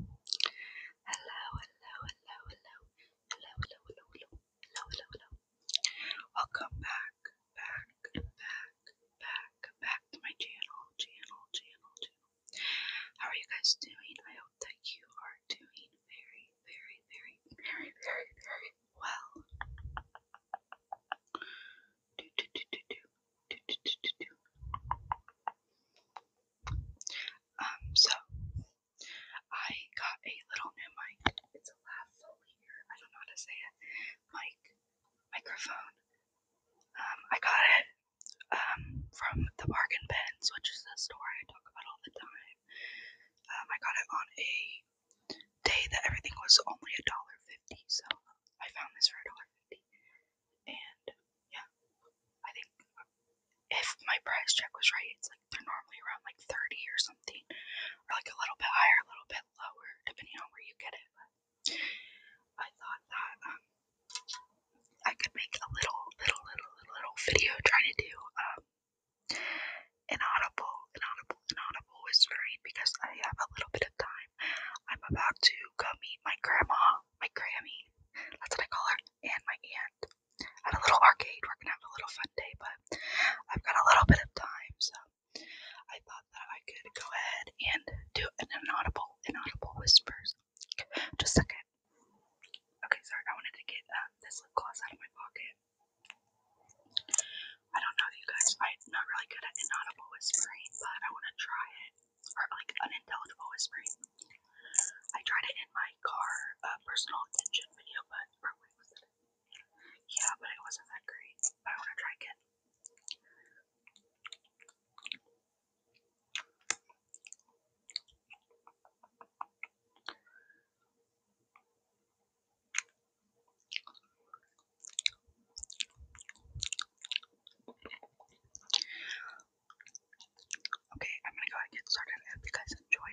Hello, hello, hello, hello, hello, hello, hello, hello, hello, Welcome back, back, back, back, back to my channel, channel, channel, channel. How are you guys doing? I hope that you are doing very, very, very, very, very, very well. Um, so I got a little new mic. It's a lavalier. I don't know how to say it. Mic microphone. Um, I got it um, from the Bargain Bins, which is the store I talk about all the time. I got it on a day that everything was only a dollar fifty, so I found this for a dollar community. And yeah, I think uh, if my price check was right, it's like they're normally around like 30 or something, or like a little bit higher, a little bit lower, depending on where you get it. But I thought that um, I could make a little, little, little, little, little video trying to do um, an audible, an audible, an audible whispering because I have a little bit time. I'm about to go meet my grandma, my Grammy, that's what I call her, and my aunt at a little arcade. We're gonna have a little fun day, but I've got a little bit of time, so I thought that I could go ahead and do an inaudible, inaudible whispers. Just a second. Okay, sorry, I wanted to get uh, this lip gloss out of my pocket. I don't know, you guys. I'm not really good at inaudible whispering, but I want to try it. Or like unintelligible whispering. I tried it in my car uh, personal attention video, but Yeah, but it wasn't that great. But I want to try again. Okay, I'm gonna go ahead and get started. I hope you guys enjoy.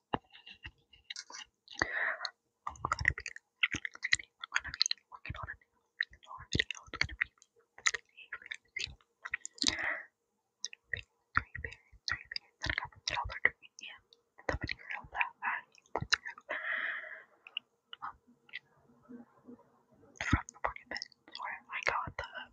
gonna be gonna be working on a new VR video. It's gonna be three three bears, three bears that I got from Dollar Tree and the mini girl that I put through um, from the market bin where I got the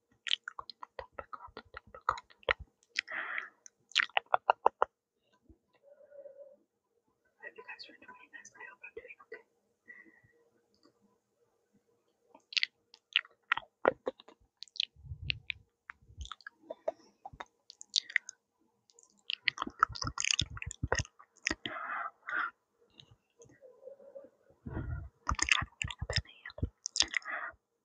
I hope you guys are enjoying this. I hope I'm doing okay. I'm getting a penny.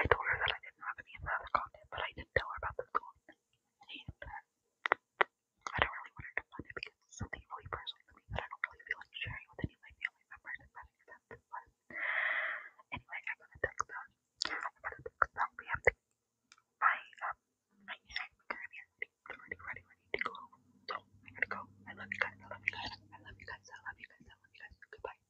I told her that I didn't have any of the other content, but I didn't tell her about this one. I don't really want her to find it because it's something really personal to me that I don't really feel like sharing with any of my family members if anyway, I got a text out. I got a to, my, um, my hand, my granny, I'm already ready, ready to go. So, I gotta go. I love you guys. I love you guys. I love you guys. I love you guys. I love you guys. Goodbye.